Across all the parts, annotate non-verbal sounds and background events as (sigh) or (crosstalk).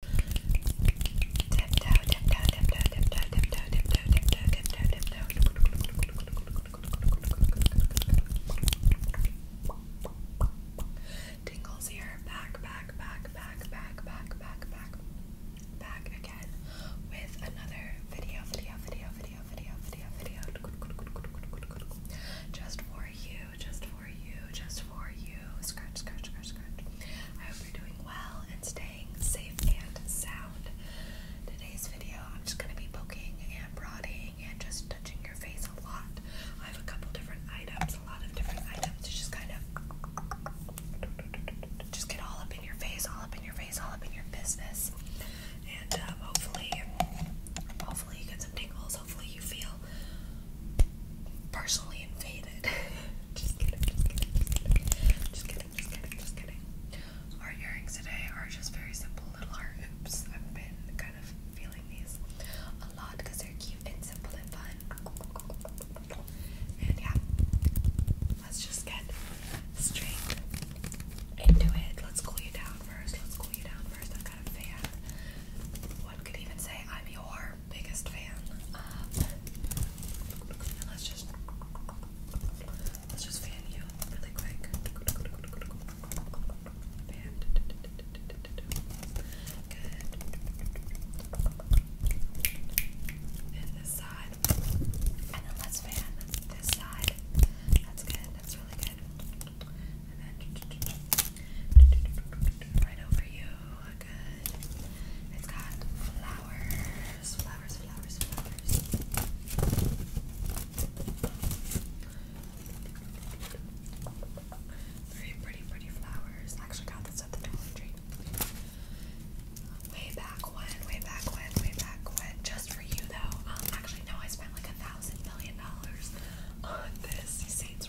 Tiptoe, Tingles here, back, back, back, back, back, back, back, back, back again with another video, video, video, video, video, video, video, just for you just for you, just for you. Scratch, scratch, scratch, scratch. I hope you're doing well and staying safe and sound. Today's video, I'm just gonna be poking and prodding and just touching your face a lot. I have a couple different items, a lot of different items to just kind of just get all up in your face, all up in your face, all up in your business. And um, hopefully, hopefully you get some tingles. Hopefully you feel personally invaded. (laughs) just, kidding, just, kidding, just kidding, just kidding, Our earrings today are just very simple little heart I've been kind of feeling these a lot because they're cute and simple and fun. And yeah, let's just get straight into it. Let's cool you down first. Let's cool you down first. I'm kind of fan. One could even say I'm your biggest fan. let's just let's just fan you really quick. Fan. this side. And then let's fan this side. That's good. That's really good and then right over you. Good. It's got flowers, flowers, flowers, flowers. Very pretty, pretty flowers. I actually got this at the Dollar Tree. Way back when, way back when, way back when. Just for you though. Um, actually, no, I spent like a thousand million dollars on this. You see, it's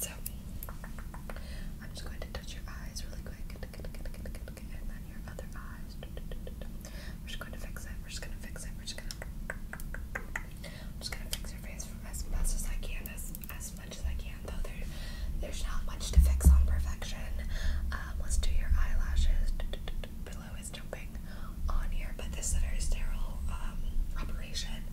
So I'm just going to touch your eyes really quick, and then your other eyes. We're just going to fix it. We're just going to fix it. We're just going to. fix your face from as best as I can, as as much as I can. Though there, there's not much to fix on perfection. Um, let's do your eyelashes. Below is jumping on here, but this is a sterile um, operation.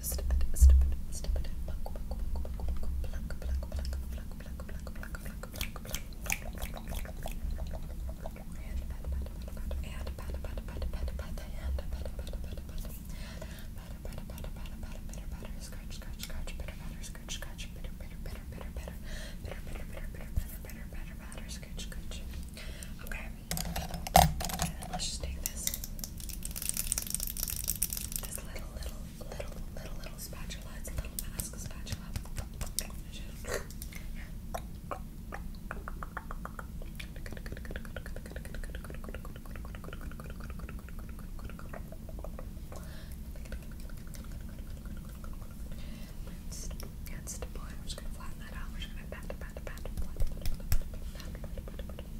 stupid, stupid, stupid, pluck, pluck, pluck, pluck, pluck, pluck, pluck, pluck, pluck, pluck, pluck, pluck, pluck, Okay. And let's just take this, this little little, little, little, little, spatula. It's a little mask spatula. It's the I'm just gonna flatten that out. We're just gonna pat, pat, pat, pat, pat,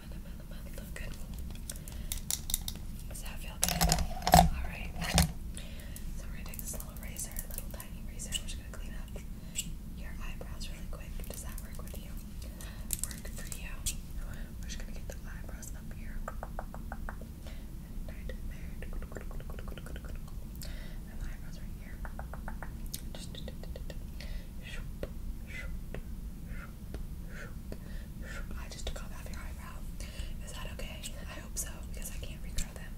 look Does that feel good? Alright. So we're gonna take this little razor, little tiny razor, we're just gonna clean up your eyebrows really quick. Does that work with you? Work for you. We're just gonna get the eyebrows up here. And the eyebrows right here. Just I just took off half your eyebrow. Is that okay? I hope so, because I can't regrow them.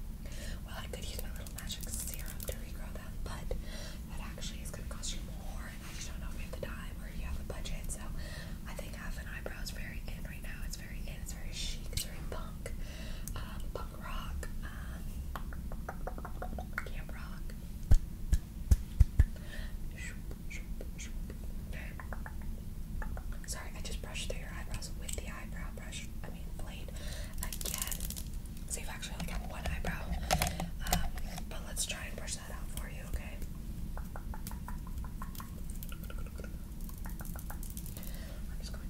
Well, I could use my little magic serum to regrow them, but that actually is going to cost you more, and I just don't know if you have the time or you have the budget. So I think half an eyebrow is very in right now. It's very in, it's very chic, it's very punk. Um, um, camp Rock. Sorry, I just brushed through your eyebrows with the eyebrow brush. I mean blade again. So you've actually only got one eyebrow. Um, but let's try and brush that out for you, okay? I'm just going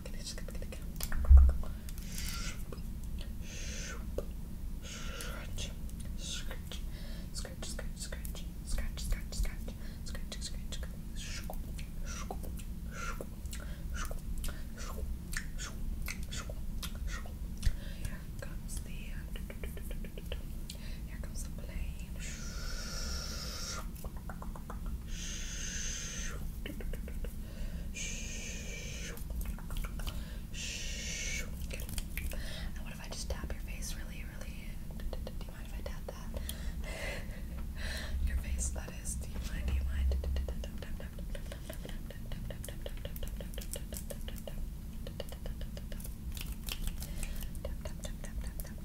Scratch, scratch, scratch, scratch, scratch, scratch, scratch, scratch, scratch, scratch, Here comes the. Here comes the plane. And what if I just tap your face really, really? Do you mind if I tap that? your face, that is. Do you mind? Do you mind? Tap, tap, tap, tap, tap,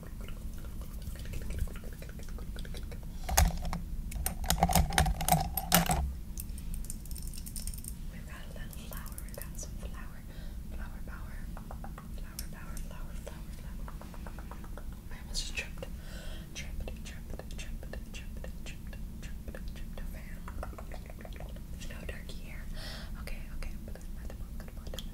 We've got a little flower, we've got some flower, flower power, flower power, flower, flower, flower. I almost just tripped. Tripped, tripped, tripped, tripped, tripped, tripped, tripped, tripped over. There's no turkey here. Okay, okay, but I'm not the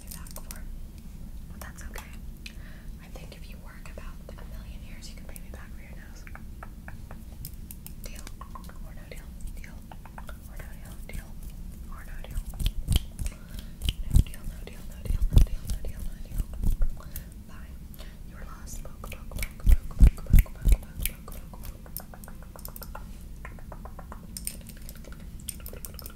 me But that's okay. I think if you work about a million years, you can pay me back for your nose. Deal or no deal? Deal or no deal? Deal or no deal? No deal, no deal, no deal, no deal, no deal, no deal. Bye. You were lost.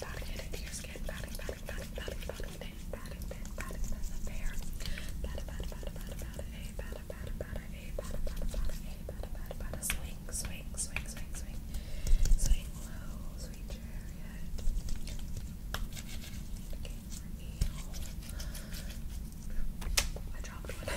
Patting it into your skin, patting, patting, patting, patting, patting, patting, patting, patting, patting, patting the hair. Pat, pat, pat, pat, pat, pat, a pat, pat, pat, a pat, pat, pat, a pat, pat, pat, swing, swing, swing, swing, swing, swing low, sweet chariot. Okay, reveal. I dropped one.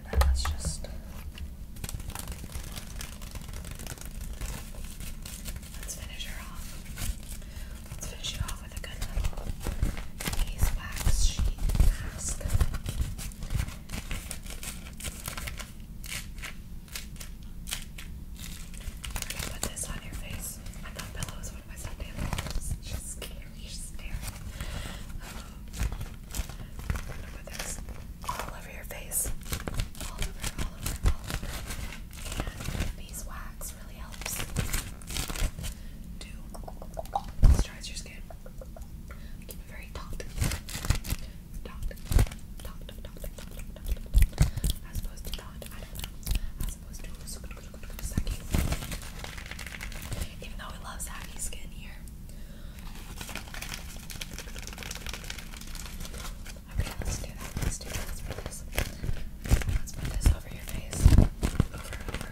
and let's just let's finish her off. Let's finish her off with a good little face sheet mask. put this on your face. I thought Bella was one of my Sunday loves. She's scary, scary. Uh, put this all over your face. All over, all over, all over. And beeswax really helps moisturize your skin. Keep it very taut. Taut, taut, taut, taut, taut, As opposed to taut, I don't know. As opposed to saggy. Even though we love saggy skin here, Okay, let's do that. Let's do that. Let's put this. Let's put this over your face. Over, Good,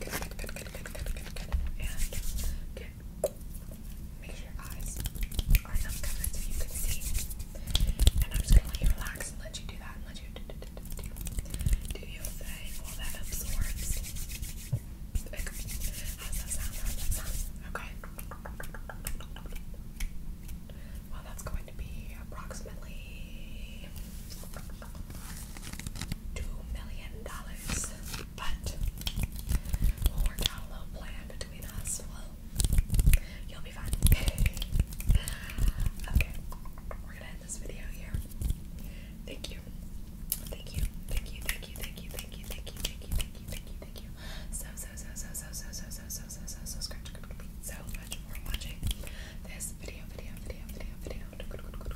good, good, good, good, good, good, good, good. Make sure your eyes are not so you can see. And I'm just gonna let you relax and let you do that and let you do, do, do, do, do that absorbs. Okay. Well, that's going to be approximately two million dollars. But we'll plan between us. Well, you'll be fine. okay, we're gonna end this video here. Thank you. Thank you. Thank you. Thank you. Thank you. Thank you. Thank you. Thank you. Thank you. Thank you. Thank you. So so so so so so so so so so so so so so much for watching this video video video video video.